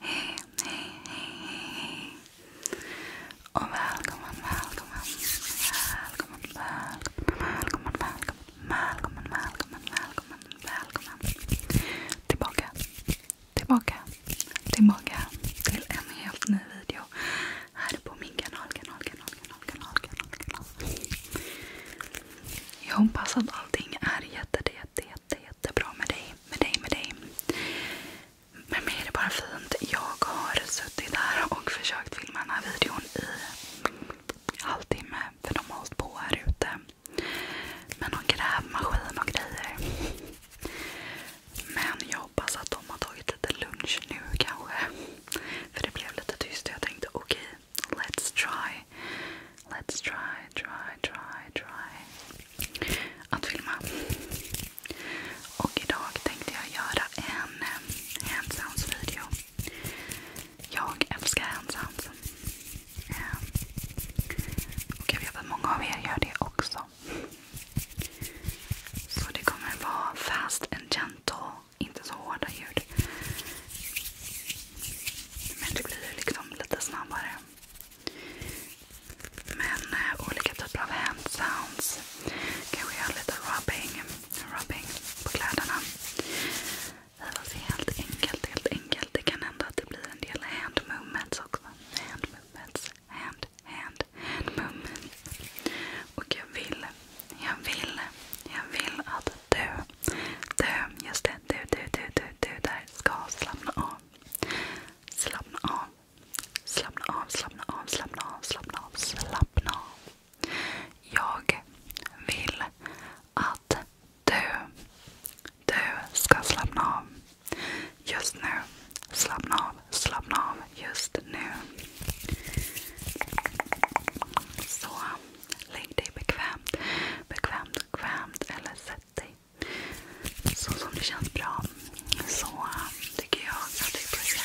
Hej, hej, hej, Och välkommen, välkommen, välkommen, välkommen, välkommen, välkommen, välkommen, välkommen, Tillbaka, tillbaka, tillbaka till en helt ny video här på min kanal, Jag hoppas att allting är jättedel jätte, jätte, jättebra med dig. Med dig, med dig. Med mig är det bara fint. Jag har suttit här och försökt filma den här videon i halvtimme. För de har hållit på här ute. Med någon grävmaskin och grejer. Men jag hoppas att de har tagit lite lunch nu kanske. För det blev lite tyst och jag tänkte okej, let's try. Let's try try, try, try att filma. Och idag tänkte jag göra en eh, hand sounds video. Jag älskar hand sounds. Eh, och jag vet att många av er gör det också. Så det kommer vara fast and gentle. Inte så hårda ljud. Men det blir liksom lite snabbare. Men eh, olika typer av hand sounds. Kanske göra lite rubbing, på kläderna. helt enkelt, helt enkelt. Det kan hända att en del hand movements också. Hand movements. Hand, hand, hand Och jag vill, jag vill, jag vill att du, du, just det, du, du, du, du, du där ska slappna av. Slappna av. Slappna av, slappna av, slappna av, slappna av, Jag vill att du, du ska slappna av. Just nu. Slappna av, slappna av just nu. Så lägg dig bekvämt, bekvämt, bekvämt sätt dig dig. Så som det känns bra. Så tycker jag att du börjar.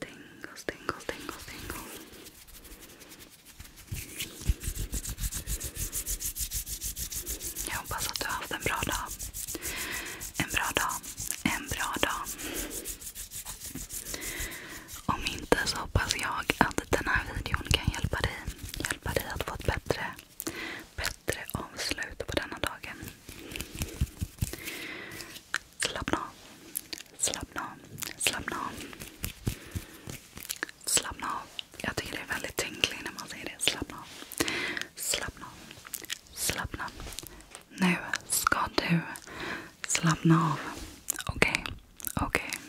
Tingles, tingles, tingles, tingles. Jag hoppas att du har haft en bra dag. En bra dag. En bra dag. Om inte så hoppas jag att den här videon kan hjälpa dig. Hjälpa dig att få ett bättre, bättre avslut på denna dagen. Slappna av. Slappna av. Slappna av. Slappna av. Jag tycker det är väldigt tänkligt när man säger det. Slappna av. Slappna av. Slappna av. Nu ska du slappna av. Okej. Okay. Okej. Okay. Slappna av.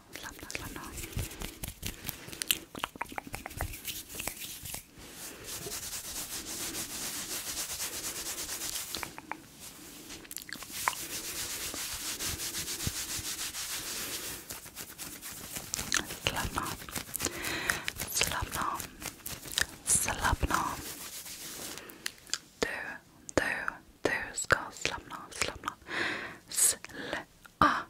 Slappna, slappna. Slappna av. Slappna av. Slappna av. Du, du, du ska slappna av. Slappna av. Slapp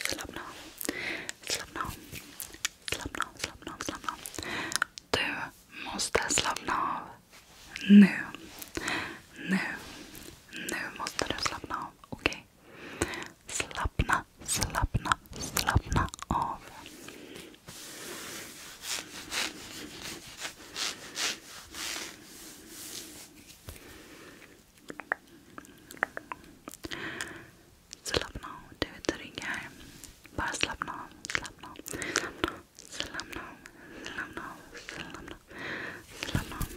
Slappna av. Slappna av. Slappna av. Slappna av. Du måste slappna av. Nu. Nu. Nu måste du slappna av. Okej? Okay. Slappna, slappna, slappna av. Slappna av. Du är trygg här. Bara slappna av. Slappna av. Slappna av. Slappna av. Slappna av. Slappna av. Slappna av. Slappna av.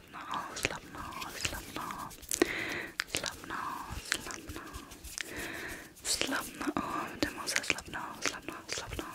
slappna av, slappna av, slappna av. Slappna av, slappna av. Slappna av. Du måste slappna av, slappna av, slappna av. Slappna av.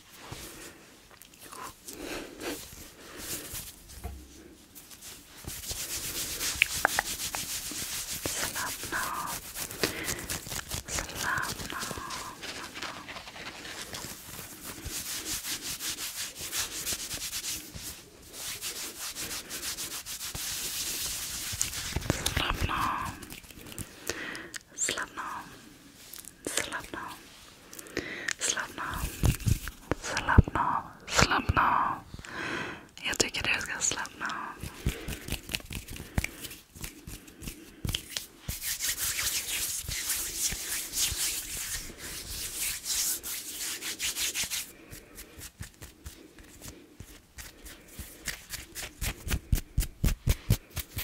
Slappna av. Slappna av. Slappna av. Slappna av. Slappna av. Slappna av. Slappna av. Slappna av. Jag tycker du ska slappna av.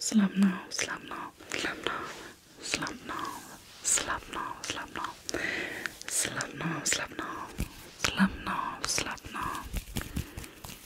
Slappna av, slappna av, slappna av, slappna av, slappna av, slappna av. Slappna av, slappna av, slappna av, slappna av.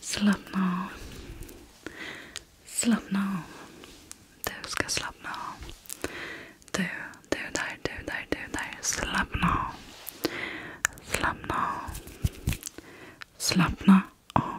Slappna av. Slappna av. Du ska slappna av. Du, du där, du där, du där. Slappna av. Slappna av. Slappna av.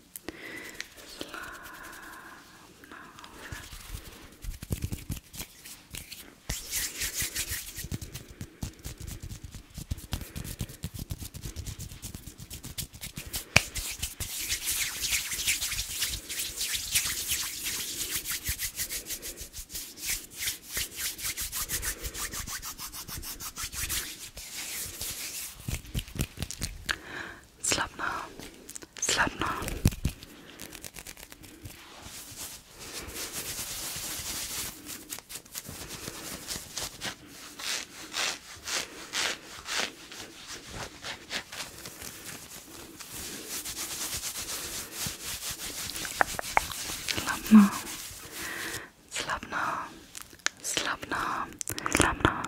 Slappna av. Slappna av. Slappna av. Slappna av. Slappna av. Slappna av.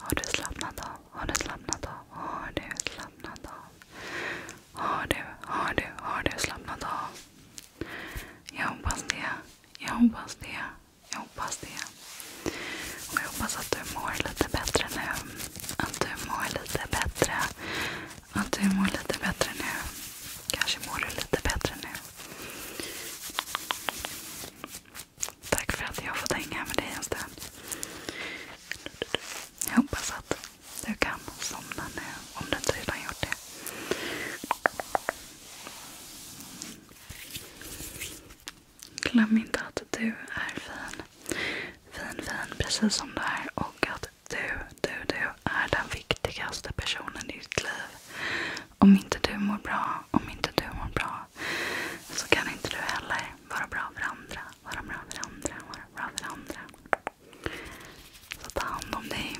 Har du slappnat av? Har du slappnat av? Har du har du, har du slappnat av? Jag hoppas det. Jag hoppas det. Jag hoppas det. Och jag hoppas att du mår lite bättre nu. Att du mår lite bättre. Att du mår lite bättre nu. Kanske mår du lite bättre nu. Tack för att jag har fått hänga med dig en stund. Jag hoppas att du kan somna nu om du inte redan gjort det. Glöm inte att du är fin. Fin, fin precis som du är. Och att du, du, du är den viktigaste personen i ditt liv. Om inte du mår bra, om inte du mår bra så kan inte du heller vara bra för andra. Vara bra för andra, vara bra för andra. Så ta hand om dig.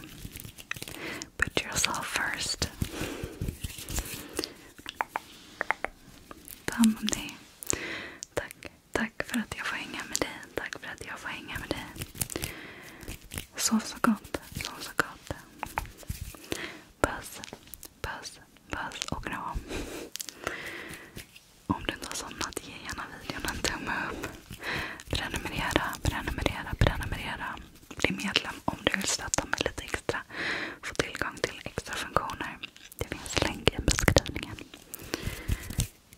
Put yourself first. Ta hand om dig. Tack, tack för att jag får hänga med dig. Tack för att jag får hänga med dig. Sov så gott. Sov så gott. Puss, puss, puss och kram. Om du inte har somnat, ge gärna videon en tumme upp. Prenumerera, prenumerera, prenumerera. Bli medlem om du vill stötta mig lite extra. Få tillgång till extra funktioner. Det finns länk i beskrivningen.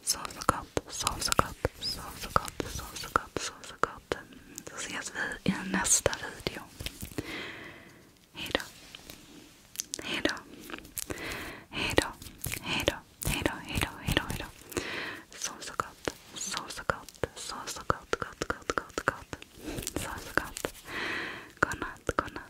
Sov så gott, sov så gott, sov så gott, sov så gott, så ses vi i nästa video. Hejdå. Hejdå. Hejdå. Hejdå. Hejdå. Hejdå. Hejdå. Sov så gott. Sov så gott. Sov så gott. Sov så gott. Godnatt.